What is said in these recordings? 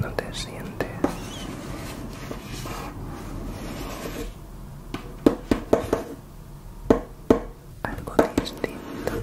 No te sientes algo distinto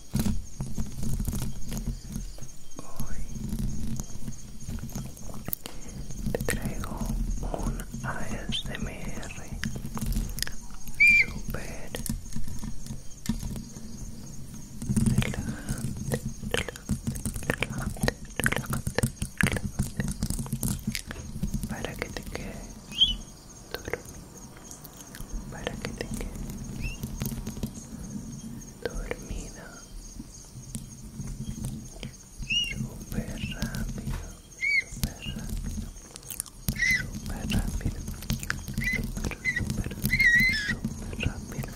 Hoy te traigo un ASMR super relajante, relajante, relajante, relajante, para que te quedes dormido, para que te quedes dormida super rápido super rápido super rápido super super súper rápido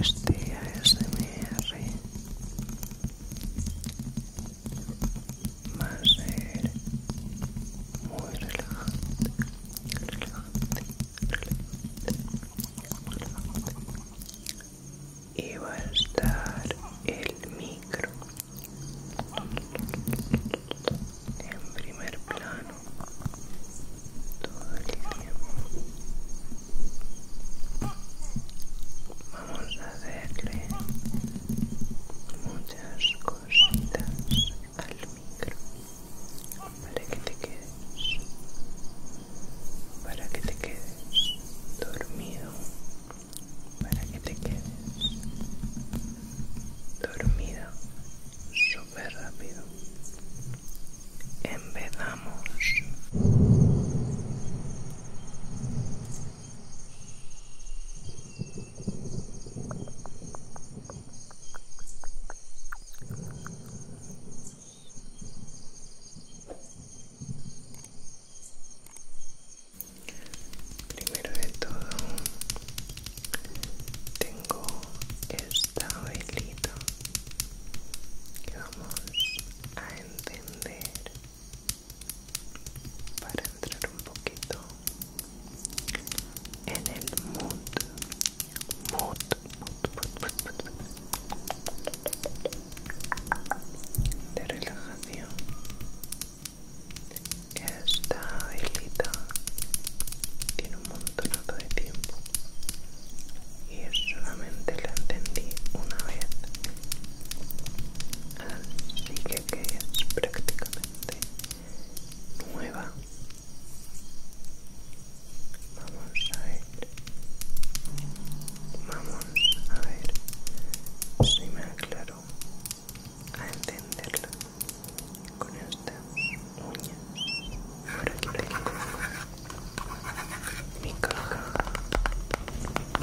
este ASMR va a ser muy relajante, relajante, relajante, relajante. Y va a estar el micro en primer plano todo el tiempo vamos a hacerle muchas cositas al micro para que te quedes para que te quedes dormido para que te quedes dormido súper rápido empezamos Primero de todo, tengo esta velita que vamos a encender para entrar un poquito en el mood mood mood, mood, mood. de relajación esta velita tiene un montonato de tiempo y solamente la entendí una vez así que es prácticamente nueva vamos a ver vamos a ver si me aclaro a entenderla con esta uña ahora que mi caja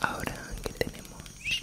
Ahora que tenemos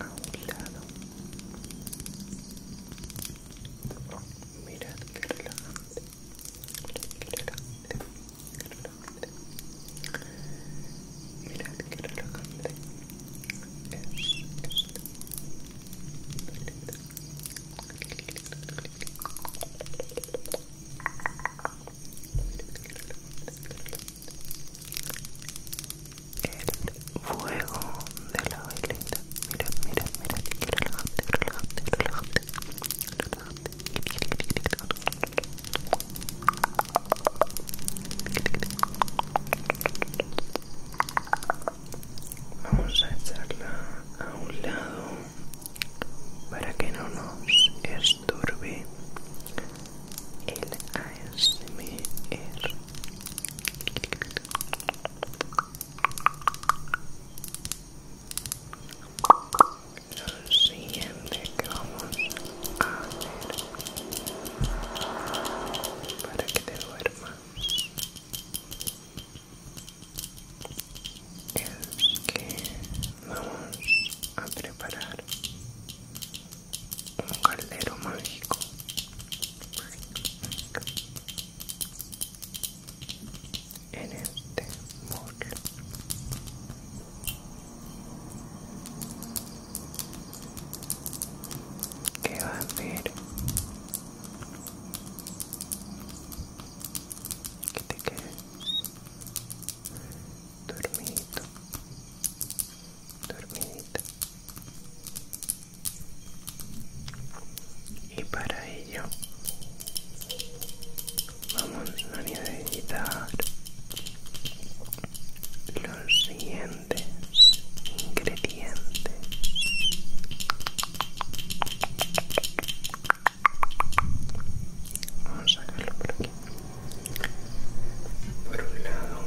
a un lado. Mirad que relajante. relajante. relajante. Mirad relajante el fuego de la velita. Mira, mira, mira, el Vamos a echarla a un lado para que no nos estorbe el ASMR. Lo siguiente que vamos a hacer para que te duermas es que vamos a preparar un caldero mágico. En este morro que va a ver que te quedes dormido dormidita y para ello vamos a necesitar los siguientes ingredientes Vamos a sacarlo por aquí. Por un lado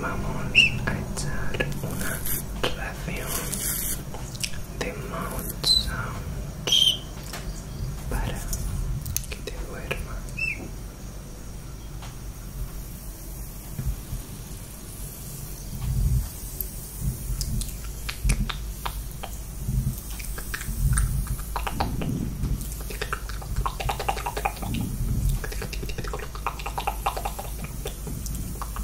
vamos a echar una ración de mount sounds para que te duermas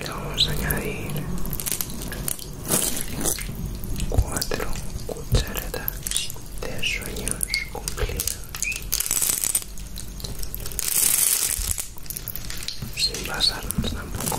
le vamos a añadir cuatro cucharadas de sueños cumplidos sin pasarnos tampoco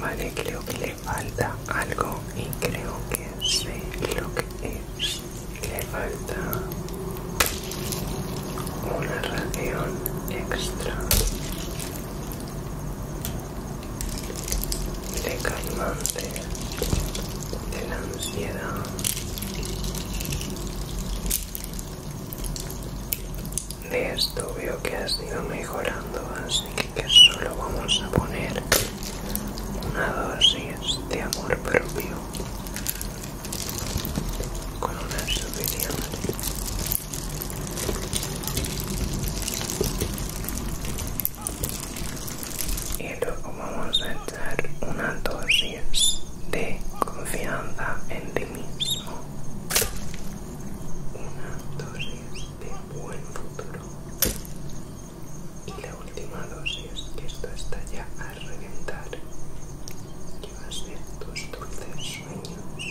Vale, creo que le falta algo y creo que sé lo que es. Le falta una ración extra de calmante de la ansiedad de esto veo que has ido mejorando así que solo vamos a poner una dosis de amor propio con una suficiente y luego vamos a echar una dosis de confianza en ti mismo una dosis de buen futuro y la última dosis que esto está ya a reventar que va a ser tus dulces sueños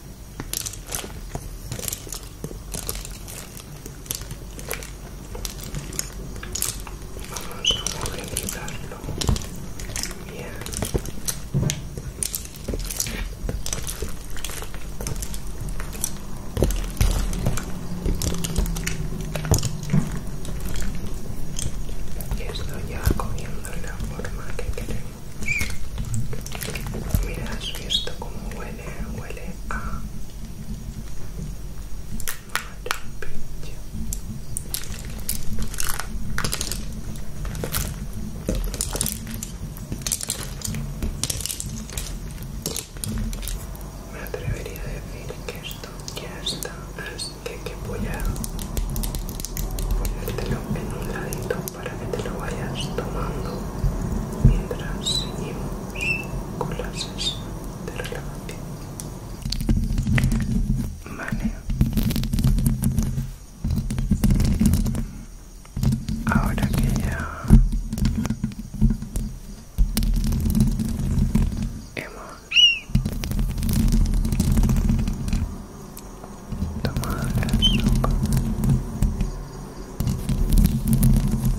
Vamos a quitarlo bien. Y estoy ya comiendo la forma que queremos. Mira, ¿has esto como huele, huele a maravilla. Me atrevería a decir que esto ya está que, voy a ponértelo en un ladito para que te lo vayas tomando mientras seguimos con las sesión de relajación vale ahora que ya hemos Toma la sopa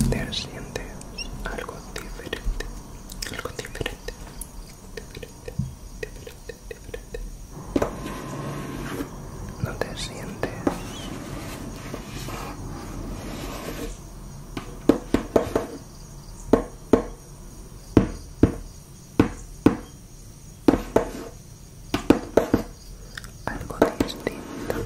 te sientes algo diferente algo diferente diferente diferente diferente no te sientes algo distinto algo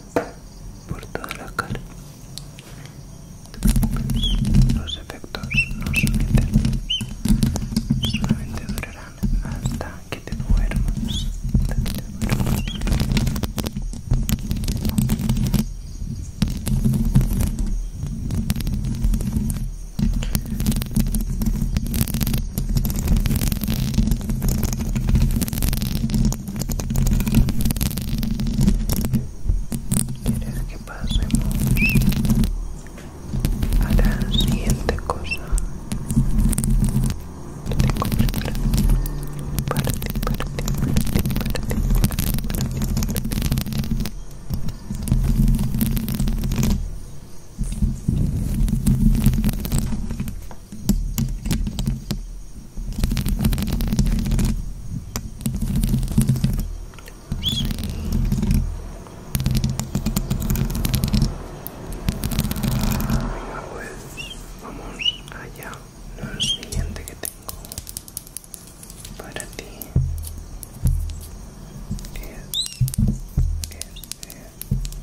por toda la cara. Los efectos no someten, solamente durarán hasta que te Hasta que te duermas. ¿Quieres que pasemos a la siguiente cosa? Tengo preparado para ti, para ti, para ti, para ti, para ti, para ti vamos allá. Lo siguiente que tengo para ti es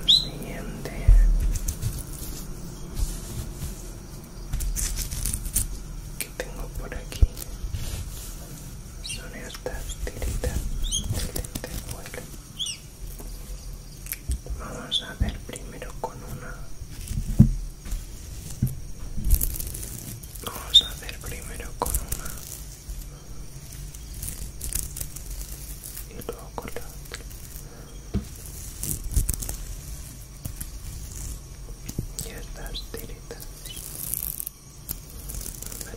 lo siguiente que tengo por aquí son estas tiritas de vuelo. vamos a ver primero con una vamos a hacer primero con una y luego con la otra y estas tiritas me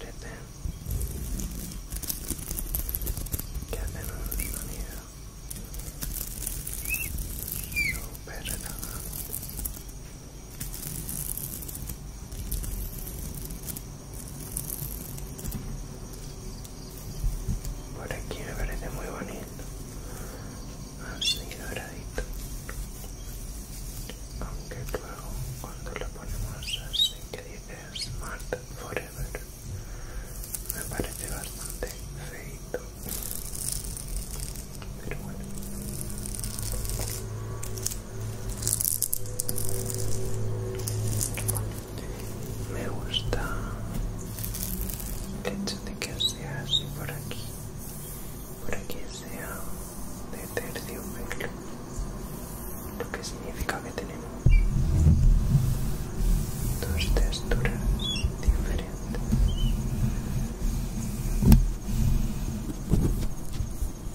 que hacen un sonido Super relajado por aquí me parece muy bonito. Así doradito. Aunque luego cuando lo ponemos así que dice Smart Forever me parece bastante feito. Pero bueno me gusta el hecho de que sea así por aquí por aquí sea de tercio pelo, lo que significa que tenemos dos texturas diferentes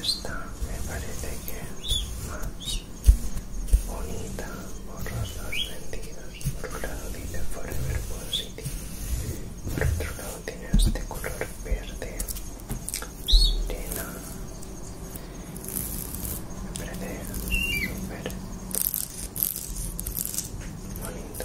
Esta me parece que es más bonita por los dos sentidos. Por un lado dice Forever Positive, por otro lado tiene este color verde sirena. Me parece súper bonito.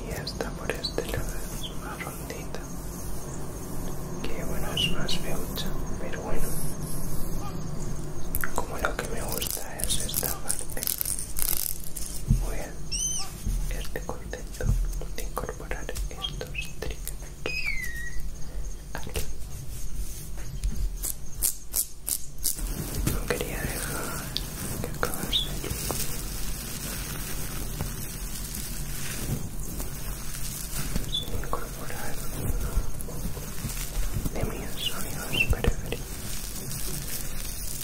y hasta por este lado es más rondita que bueno es más feucha pero bueno como lo que me gusta es esta parte muy bien este concepto de incorporar estos triggers aquí no quería dejar que acabase sin incorporar uno de mis sueños preferidos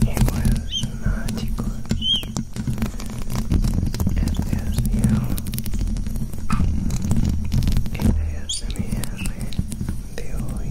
Iguals mágicos este es el ASMR de hoy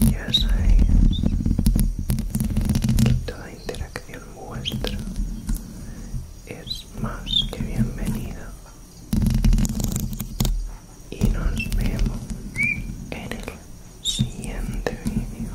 ya sabéis que toda interacción vuestra es más que bienvenida y nos vemos en el siguiente vídeo